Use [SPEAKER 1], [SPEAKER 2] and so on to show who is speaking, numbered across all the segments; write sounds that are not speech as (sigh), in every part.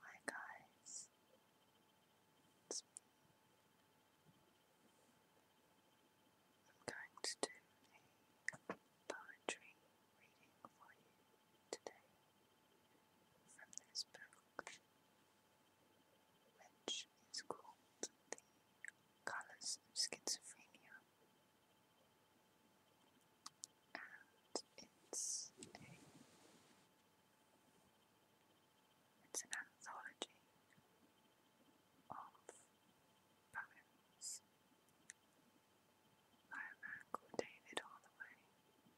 [SPEAKER 1] Hi guys, I'm going to do a poetry reading for you today from this book, which is called The Colours of Schizophrenia it's it's an anthology of poems by a David Holloway. And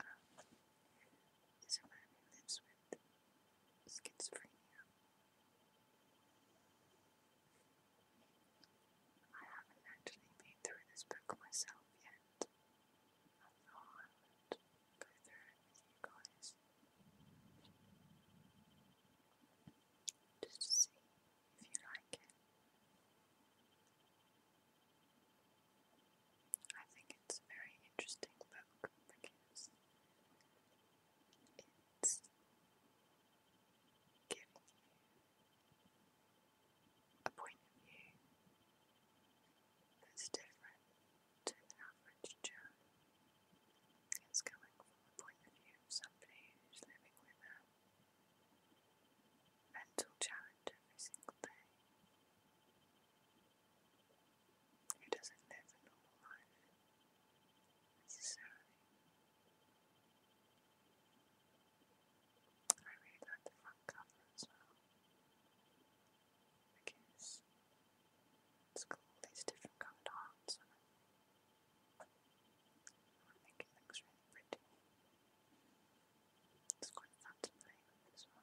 [SPEAKER 1] um, is man lives with schizophrenia I haven't actually been through this book myself yet. I thought I would go through it you guys. Just to see if you like it. I think it's a very interesting book let give you a point of view that's different to the average Joe. It's coming from the point of view somebody who's living with a mental challenge every single day, who doesn't live a normal life necessarily. I really like the front cover as well. Because it's got all these different coloured arms on it. I really pretty. It's quite fun to play with as well.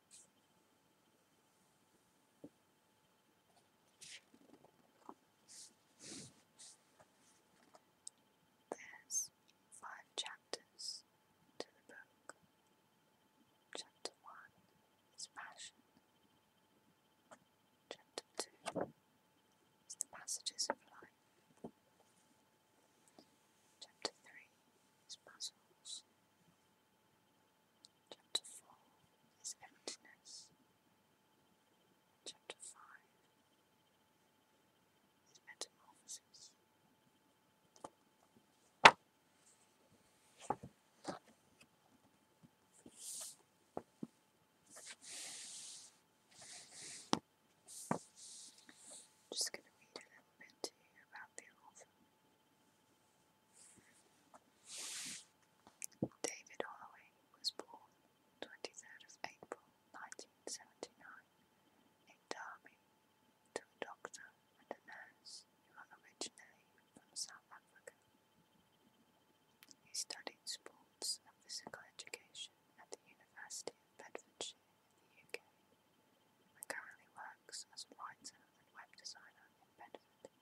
[SPEAKER 1] There's five chapters to the book. Chapter 1 is passion. Chapter 2 is the passages of life. Chapter 3 is puzzles. Chapter 4 is emptiness. Chapter 5 is metamorphosis. just going to read a David Holloway was born 23rd April 1979 in Derby to a doctor and a nurse originally from South Africa. He studied sports and physical education at the University of Bedfordshire in currently works as a writer and web designer in Bedford.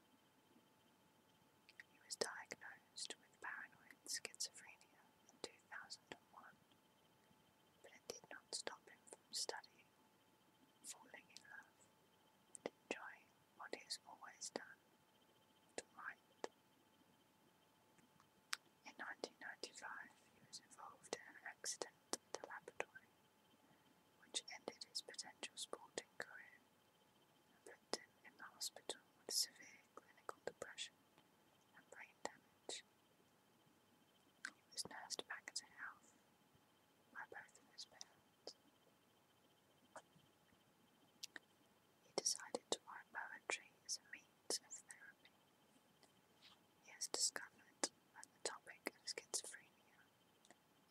[SPEAKER 1] He was diagnosed with paranoid schizophrenia in 2001, but it did not stop him from studying, falling in love, and enjoying what he has always done, to write. In 1995, he was involved in an accident the Laboratory, which ended his potential sporting career put him in the hospital with severe clinical depression and brain damage. He was nursed back to health by both of his parents. He decided to write poetry as a means of therapy. His discomfort at the topic of schizophrenia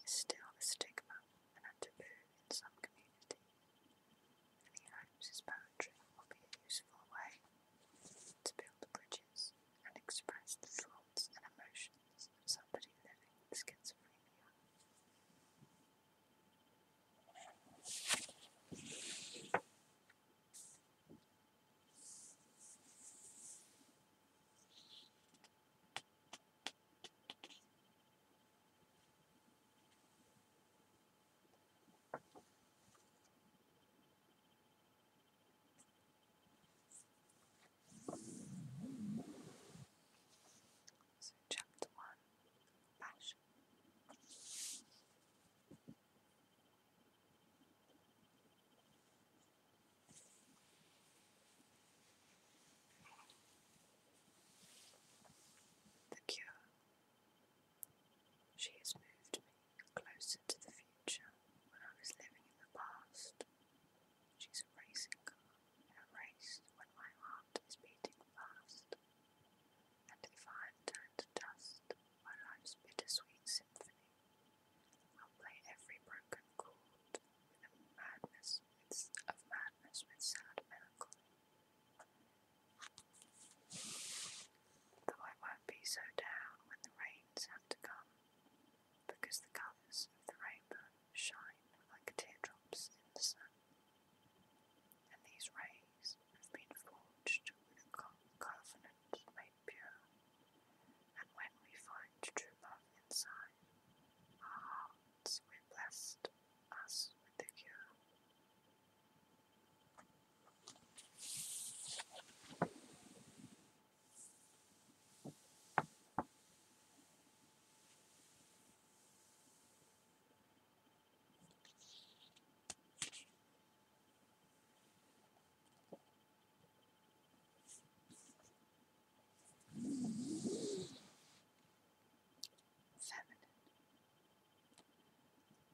[SPEAKER 1] is still a stigma and a taboo in some communities, and he hopes his will be a useful way to build bridges and express thoughts and emotions of somebody living with schizophrenia. So, chapter one passion. The cure. She has moved me closer to the future when I was living in the past. She's a racing car in a race when my heart is beating fast. And if I turn to dust, my life's bittersweet symphony I'll play every broken chord with a madness with, of madness with sad melancholy. Though I won't be so down when the rains have to come, because the colours of the rainbow shine like teardrops in the sun. And these rays have been forged with a made pure, and when we find true love inside our hearts, we bless us with the cure. Feminine.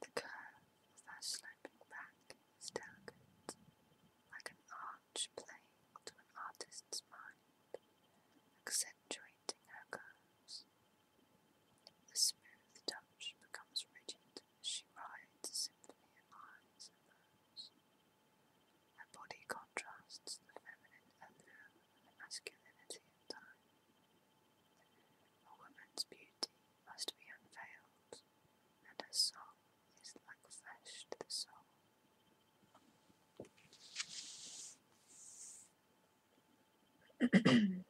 [SPEAKER 1] The curve of her sloping back is delicate, like an arch playing to an artist's mind, accentuating her curves. The smooth touch becomes rigid as she writes symphony in lines and rows. Her body contrasts the feminine and the masculinity of time. A woman's beauty must be unveiled, and her song is like flesh to the soul. (clears throat) (clears throat)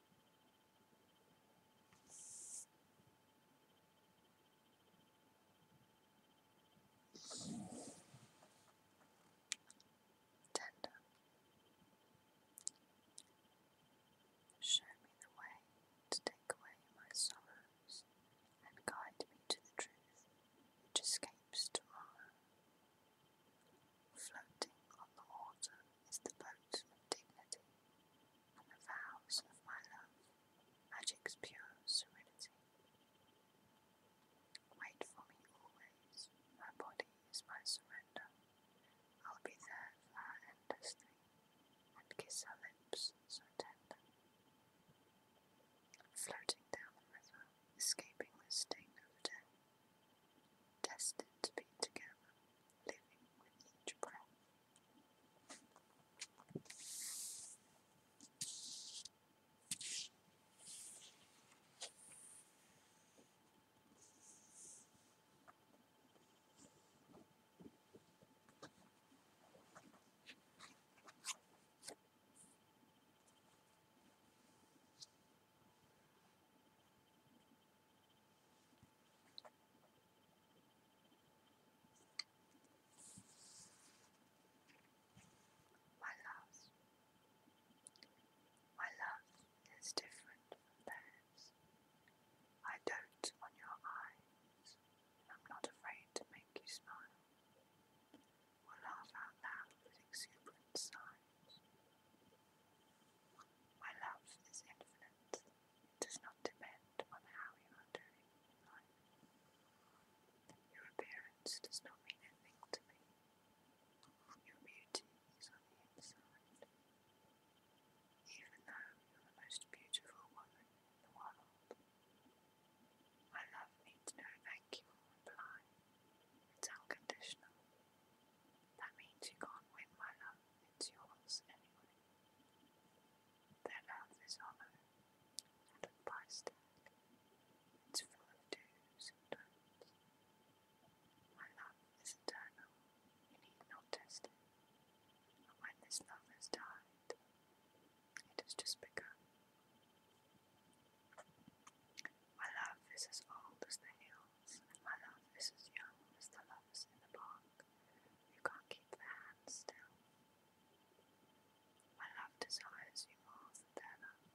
[SPEAKER 1] Tender. Show me the way to take away my sorrows and guide me to the truth which escapes tomorrow. Floating on the water is the boat of dignity and the vows of my love, magic's pure serenity. Wait for me always, my body is my surrender. I'll be there endlessly and kiss her lips so tender. Floating down the river, escaping the sting of death destined to be together, living with each breath. My love, my love is different from theirs. I dote on your eyes, I'm not afraid to make you smile. Or laugh out loud with exuberant sighs. My love is infinite. It does not depend on how you are doing Your appearance does not mean anything to me. Your beauty is on the inside. Even though you're the most beautiful woman in the world, my love needs no thank you or reply. It's unconditional. That means you can't win my love, it's yours anyway. Their love is hollow and a price It's full of do's My love is eternal, you need not test it. But when this love has died, it has just begun. My love is as old as the hills my love, Mrs. Young, Mr. Love's in the park. You can't keep their hands still. My love desires you more than their love.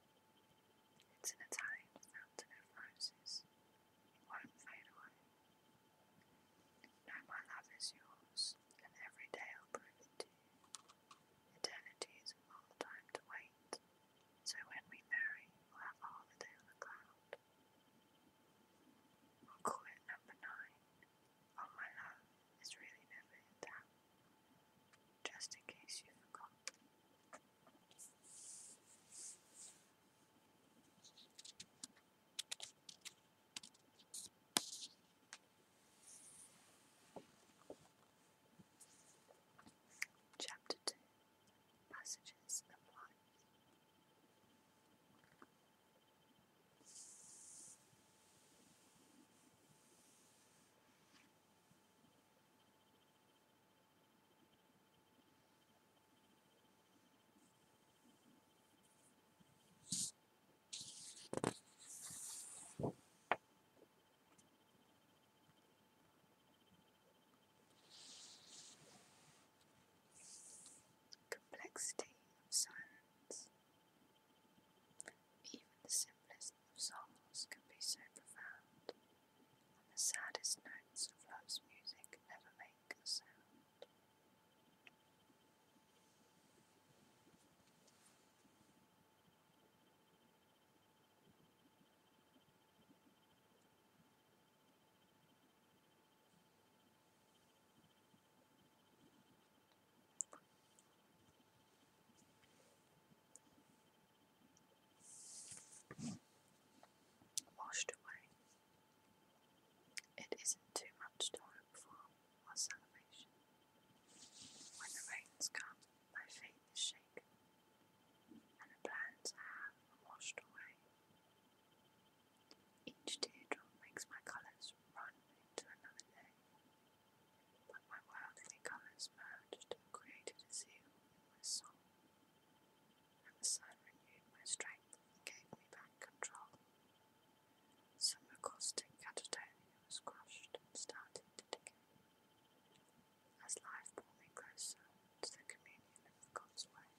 [SPEAKER 1] It's an Italian fountain of roses. It won't fade No, my love is yours, and every day I'll prove it to you. Eternity is a long time to wait, so when we marry, we'll have a holiday on the cloud. Uncle number nine. Oh my love, it's really never in doubt. Just in case you forgot. Chapter two passages apply. Complexity of silence. Even the simplest of songs can be so profound, and the saddest notes of love's music never make a sound. Washed away. It isn't too much time hope for or salvation. When the rains come, my faith is shaken, and the plans I have are washed away. Each tear drop makes my colours run into another day, but my worldly colours merged and created a zeal in my soul, and the sun renewed my strength and gave me back control. Some acoustic catatonia was crushed and started to decay, as life brought me closer to the communion of God's way.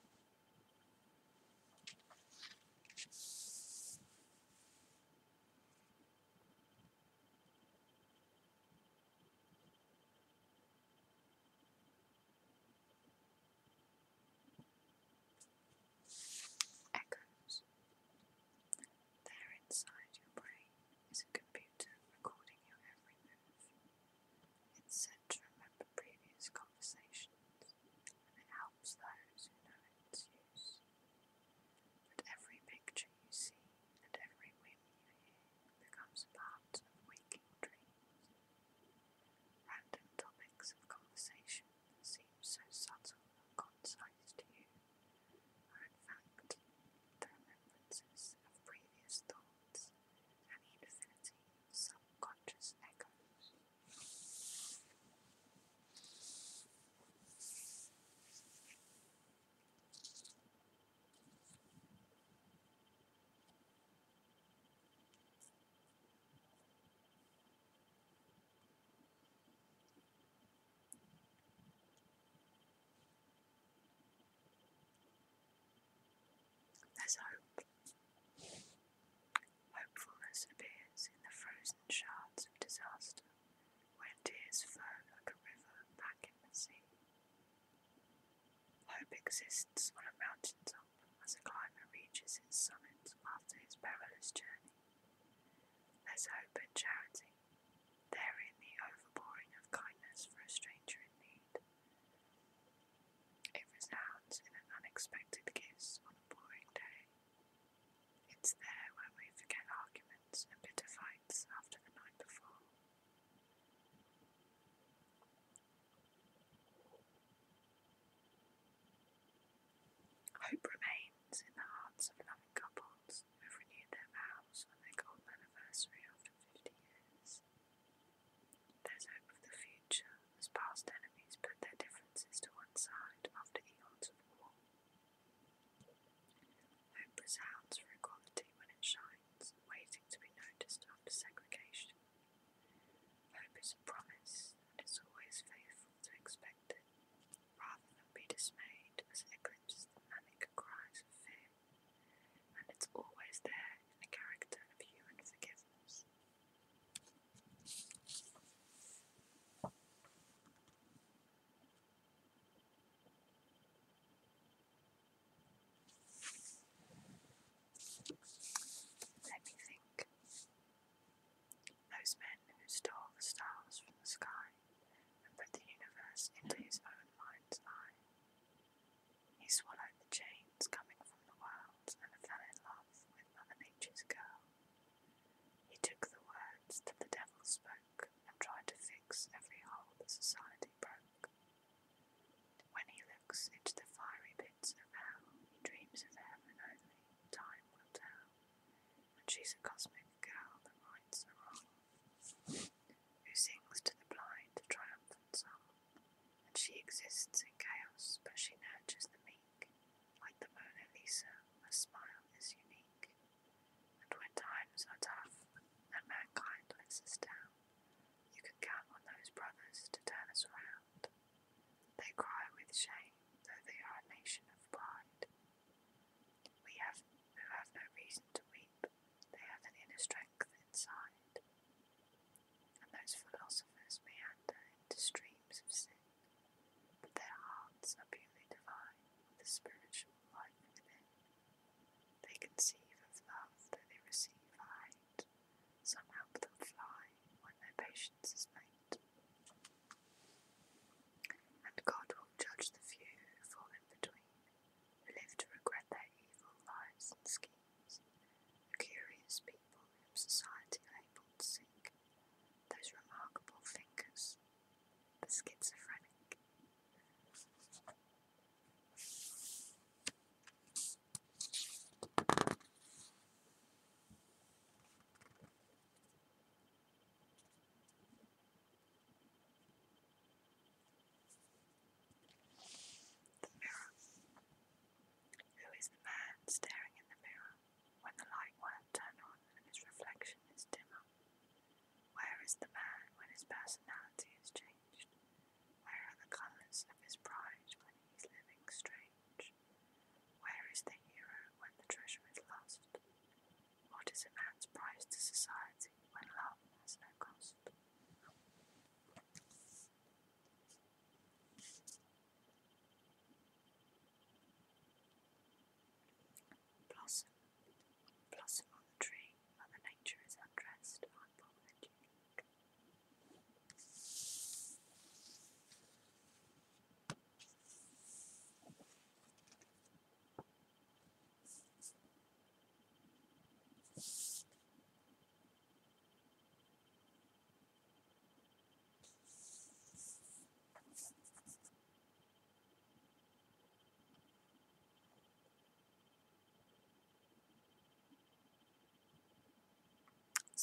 [SPEAKER 1] Echoes. There inside your brain is a computer recording your every move. It's said to remember previous conversations, and it helps those who know its use. But every picture you see and every wind you hear becomes part of waking dreams. Random topics of conversation seem so subtle concise to you are in fact the of previous thoughts and infinity subconscious echoes. There's hope. Hopefulness appears in the frozen shards of disaster, where tears flow like a river back in the sea. Hope exists on a mountain top as a climber reaches its summit after his perilous journey. There's hope and charity, therein the overpouring of kindness for a stranger in need. It resounds in an unexpected kiss on a boring day. It's there where we forget arguments and bitter fights after the night before. Hope remains in the hearts of loving couples who have renewed their vows on their golden anniversary after 50 years. There's hope for the future as past enemies put their differences to one side after the odds of war. Hope resounds for equality when it shines, waiting to be noticed after segregation. Hope is a promise, and it's always faithful to expect it, rather than be dismayed as it eclipses the manic cries of fear and it's always there in the character of human forgiveness. Let me think. Those men who stole the stars from the sky and put the universe into his own mind's eye. He swallowed the chains coming from the world and fell in love with Mother Nature's girl. He took the words that the devil spoke and tried to fix every hole that society broke. When he looks into the fiery pits of hell, he dreams of heaven only, time will tell. When she's a cosmic girl that minds the wrong, who sings to the blind a triumphant song and she exists in chaos, but she nurtures the meek. Like the Mona Lisa, her smile is unique. And when times are tough and mankind lets us down, you can count on those brothers to turn us round. They cry with shame, though they are a nation of pride. We have who have no reason to weep, they have an inner strength inside and those philosophers may meander into streams of sin, but their hearts are purely divine with the spiritual life within. They conceive of love though they receive hate, some help them fly when their patience is made. And God will judge the few who fall in between, who live to regret their evil lives and schemes. Curious people whom society labelled sick, those remarkable thinkers, the schizophrenic. The mirror. Who is the man staring in the mirror when the light won't turn on and his reflection is dimmer? Where is the man when his personality is changed? Where are the colours of his pride when he's living strange? Where is the hero when the treasure is lost? What is a man's price to society when love has no cost? Blossom, blossom on the tree, Mother Nature is undressed, I'm bold and unique.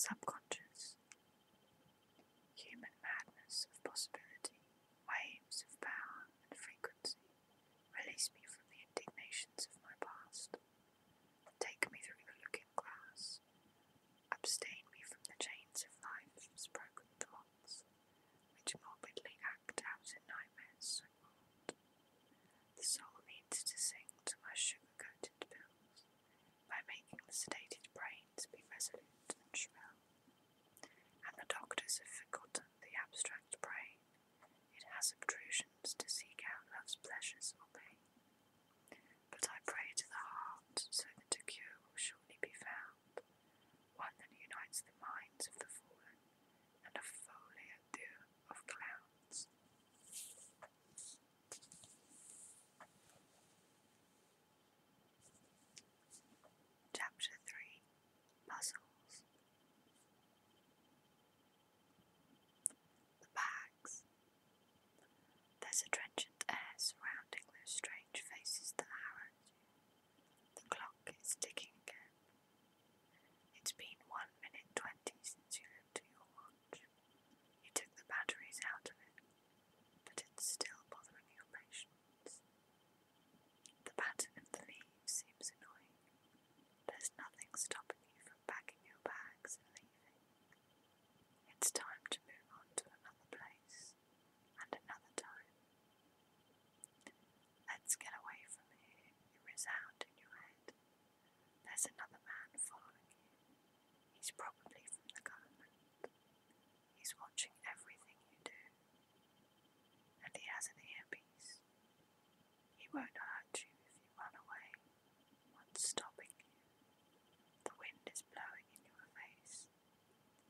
[SPEAKER 1] Subconscious. Human madness of possibility, waves of power and frequency, release me from the indignations of my past. Take me through the looking glass. Abstain me from the chains of life sprung with the moths, which morbidly act out in nightmares so old. The soul needs to sing to my sugar-coated pills by making the sedated brains be resolute and shrill. And the doctors have forgotten the abstract brain. It has obtrusions to seek out love's pleasures or pain. But I pray to the heart, so that a cure will surely be found, one that unites the minds of the fallen and a foliage of clowns. Chapter 3 Puzzles the bags. There's a trenchant air surrounding those strange faces that harrowed you. The clock is ticking again. It's been one minute twenty since you looked at your watch. You took the batteries out of it, but it's still bothering your patience. The pattern of the leaves seems annoying. There's nothing stopping you from packing your bags and leaving. It's time to move on to another place and another time. Let's get away from here, you resound in your head. There's another man following you. He's probably from the government. He's watching everything you do. And he has an earpiece. He won't hurt you if you run away. What's stopping you? The wind is blowing in your face.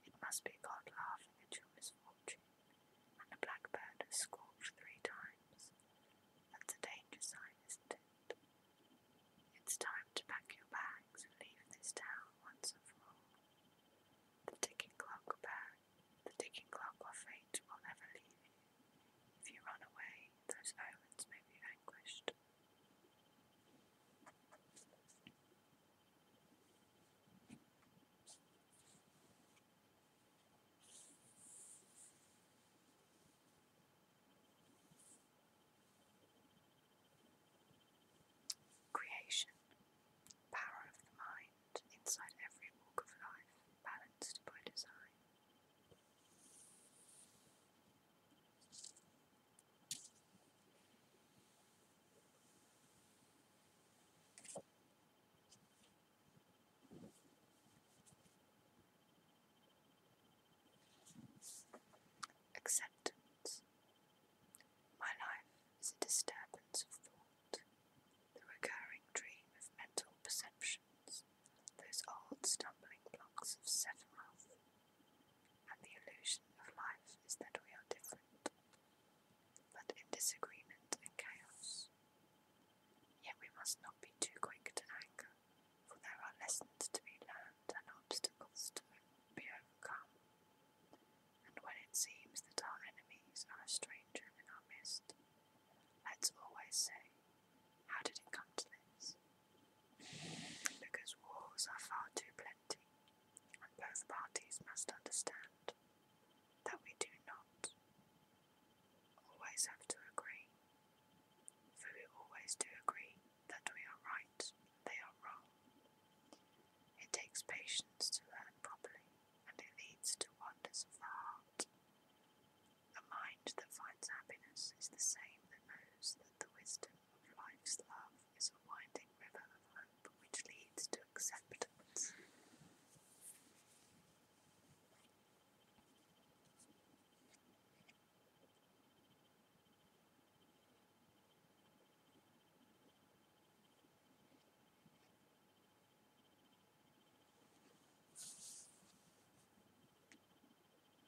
[SPEAKER 1] It must be God laughing at your misfortune, and a blackbird has squawked three times. That's a danger sign, isn't it? It's time to pack your bags and leave this town once and for all. The ticking clock bag, the ticking clock of fate will never leave you. If you run away, those islands may be vanquished. Creation, power of the mind inside every walk of life, balanced by design. Acceptance. My life is a disturbance of thought, the recurring dream of mental perceptions those old stumbling blocks of Sephiroth, and the illusion of life is that we are different, but in disagreement and chaos. Yet we must not be too quick to anger, for there are lessons to be learned and obstacles to be overcome. And when it seems that our enemies are a stranger in our midst, let's always say, how did it come to this? Because wars are far too plenty, and both parties must understand that we do not always have to agree, for we always do agree that we are right, they are wrong. It takes patience to learn properly, and it leads to wonders of the heart. The mind that finds happiness is the same that knows that the wisdom of life's love is a winding river of hope which leads to acceptance.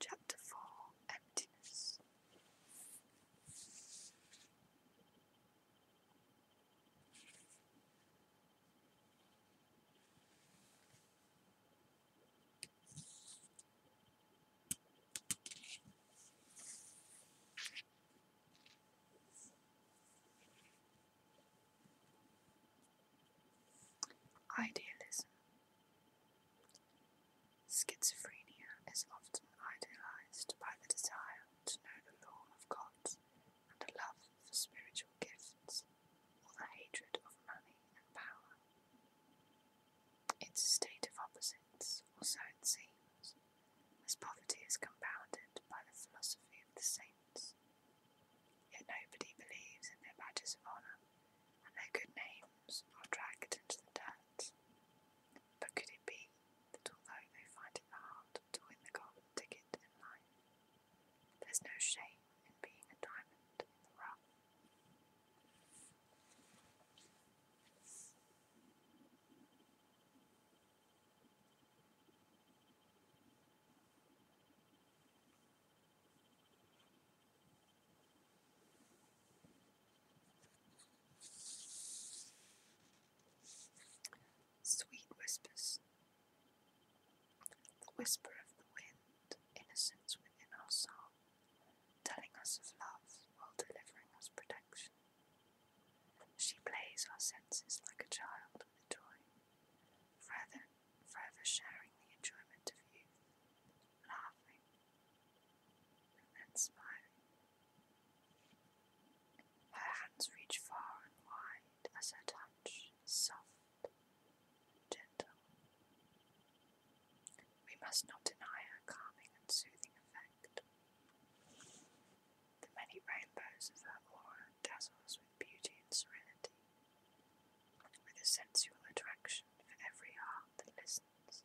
[SPEAKER 1] Chapter 4 Emptiness Idealism. Schizophrenia is often idealized by the desire to know the law of God and a love for spiritual gifts, or the hatred of money and power. It's a state of opposites, or so it seems, as poverty is compounded by the philosophy of the saints. Yet nobody believes in their badges of honour, and their good names are dragged into the dirt. But could it be that although they find it hard to win the golden ticket in life, there's no shame in being a diamond in the rough? Sweet whispers. The whisper of the wind, innocence within our song, telling us of love while delivering us protection. She plays our senses like a child with a toy, forever, forever sharing the enjoyment of youth, laughing, and then smiling. Her hands reach far and wide as her touch soft, gentle. We must not deny her calming and soothing effect effect. The many rainbows of her aura dazzle with beauty and serenity, with a sensual attraction for every heart that listens.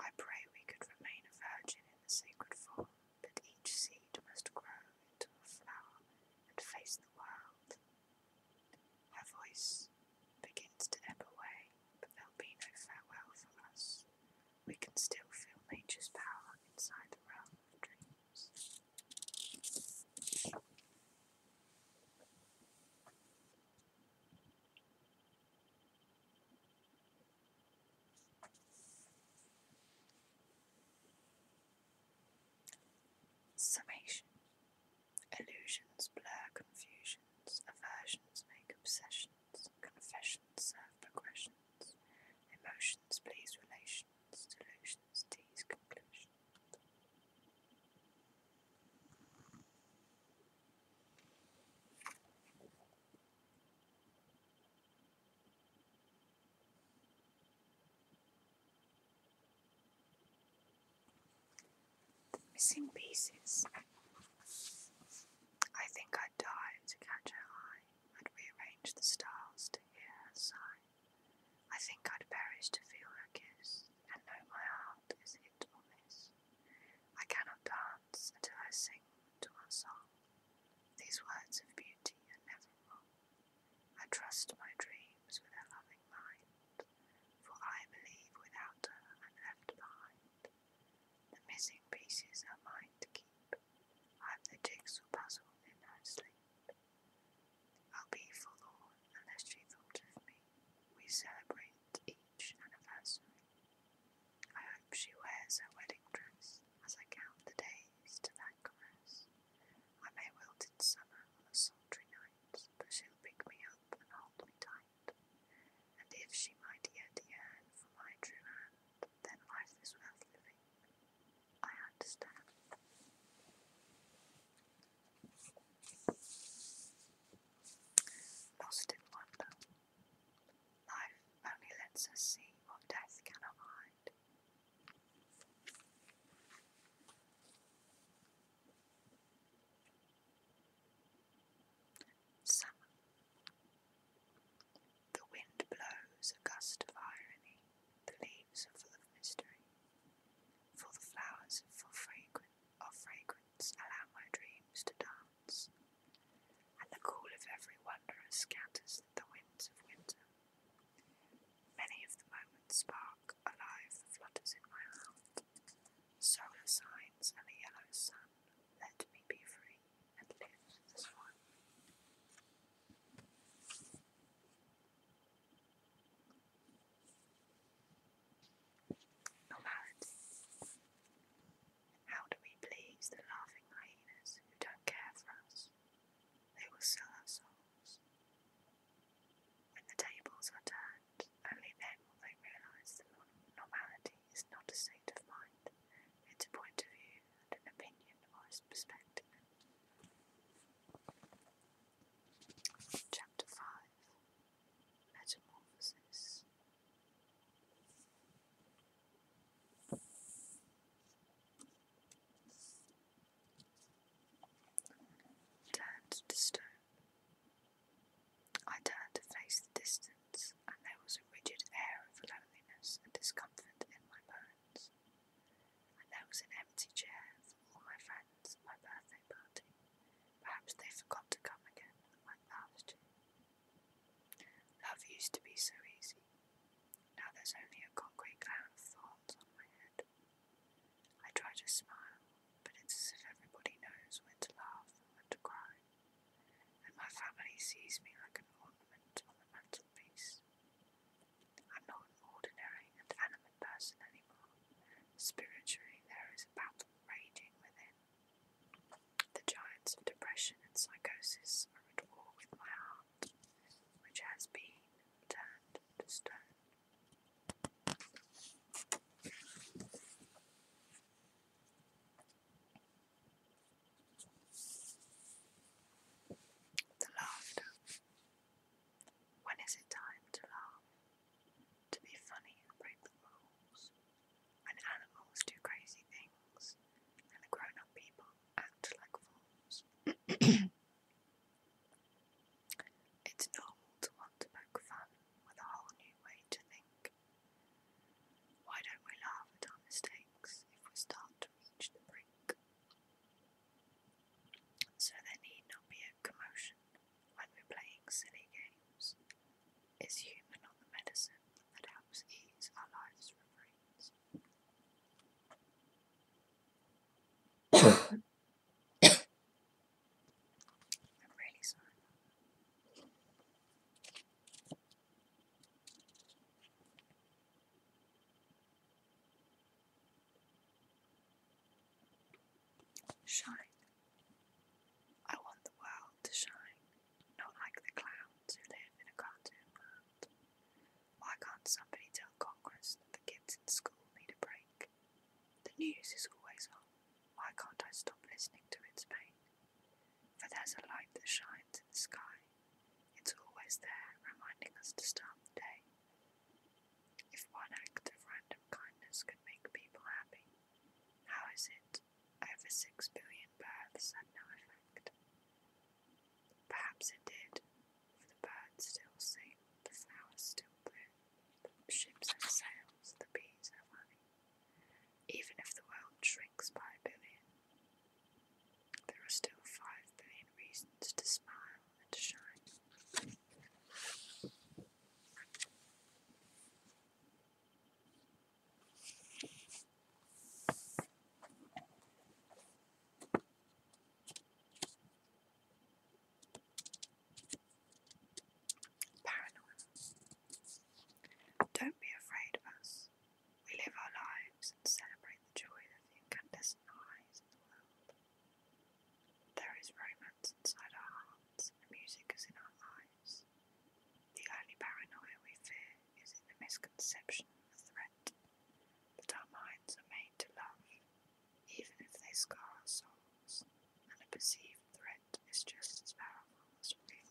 [SPEAKER 1] I pray we could remain a virgin in the sacred form, but each seed must grow into a flower and face the world. Her voice begins to ebb away, but there'll be no farewell for us we can still feel nature's power inside the realm of dreams. Summation Illusions blur confusions, aversions make obsessions confessions, progressions, emotions, please relations, delusions, teas, conclusions. The missing pieces. I think I'd dive to catch her eye and rearrange the stars to hear her sigh. I think I'd perish to feel her kiss and know my heart is hit or miss. I cannot dance until I sing to her song. These words of beauty are never wrong. I trust my dreams with her loving mind, for I believe without her I'm left behind. The missing pieces are mine to keep. I'm the jigsaw puzzle in her sleep. I'll be forlorn unless she thought of me. We celebrate each anniversary. I hope she wears her wedding dress as I count the days to that caress. I may wilt in summer on a sultry night, but she'll pick me up and hold me tight. And if she might yet yearn for my true hand, then life is worth living. I understand. Lost in wonder. Life only lets us see what death cannot hide. Salmon. The wind blows a gust of irony, the leaves are full of mystery. For the flowers for fragrant of fragrance allow my dreams to dance, and the call of every wanderer scatters the winds of winter. Many of the moments spark alive the flutters in my heart. Solar signs and the yellow sun let me be free and live Normality. How do we please the laughing hyenas who don't care for us? They will sell our souls. When the tables are turned, only then will they realise the normality it's not a state of mind, it's a point of view and an opinion or a perspective. Chapter 5 Metamorphosis Turned to I turned to face the distance, and there was a rigid air of loneliness and discomfort in my bones. there was an empty chair for all my friends at my birthday party. Perhaps they forgot to come again, like last Love used to be so easy. Now there's only a concrete cloud of thoughts on my head. I try to smile, but it's as if everybody knows when to laugh and when to cry and my family sees me like an ornament on the mantelpiece. I'm not an ordinary and animate person anymore. Spiritually, there is a battle raging within. The giants of depression and psychosis are at war with my heart, which has been turned to stone. The laughter. When is it time to laugh? To be funny and break the rules? When animals do crazy things and grown up people act like fools. (clears throat) it's normal to want to poke fun with a whole new way to think why don't we laugh at our mistakes if we start to reach the brink? So there need not be a commotion when we're playing silly games. It's human on medicine that helps ease our lives' refrains. (coughs) I'm really sorry. Shine. I want the world to shine, not like the clowns who live in a cartoon land. Why can't somebody tell Congress that the kids in school need a break? The news is always on. Why can't I stop listening to its pain? For there's a light that shines in the sky. It's always there, reminding us to start the day. If one act of random kindness could make people happy, how is it over six billion births had no effect? Perhaps it did, for the birds still sing, the flowers still bloom, the ships have sails, the bees are honey. Even if the world shrinks by a billion, there are still five billion reasons to smile and to shine. Paranoia. Don't be afraid of us. We live our lives and celebrate the joy that the incandescent eyes in the world. There is romance inside our hearts, and music is in our eyes. The only paranoia we fear is in the misconception of the threat that our minds are made to love, even if they scar our souls, and a perceived threat is just as powerful as real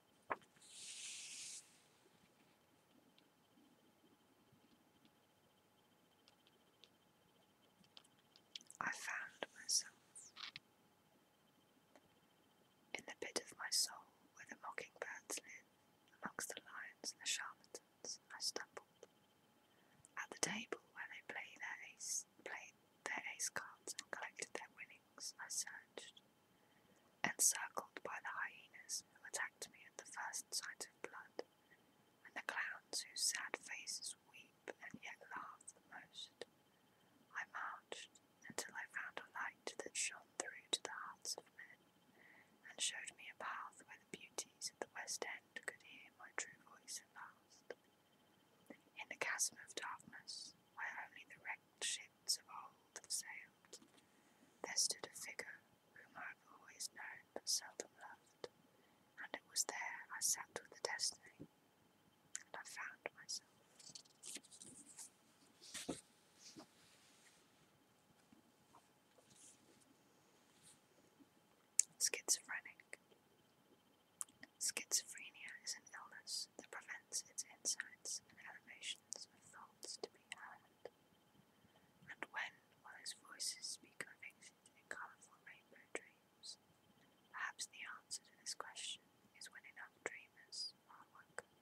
[SPEAKER 1] I found myself in the pit of my soul where the mockingbirds live, amongst the lions and the charlatans. I stumbled at the table where they play their ace, played their ace cards and collected their winnings. I searched encircled by the hyenas who attacked me at the first sight of blood, and the clowns whose sad faces weep and yet laugh the most. I marched until I found a light that shone through to the hearts of men, and showed me a path where the beauties of the West End could hear my true voice at last. In the chasm of darkness, where only the wrecked ship of old have There stood a figure whom I have always known but seldom loved, and it was there I sat with the destiny, and I found myself. Schizophrenic. Schizophrenia is an illness that prevents its insights and elevations of thoughts to be heard. And when while his voices speak of convictions in colourful rainbow dreams, perhaps the answer to this question is when enough dreamers are woken.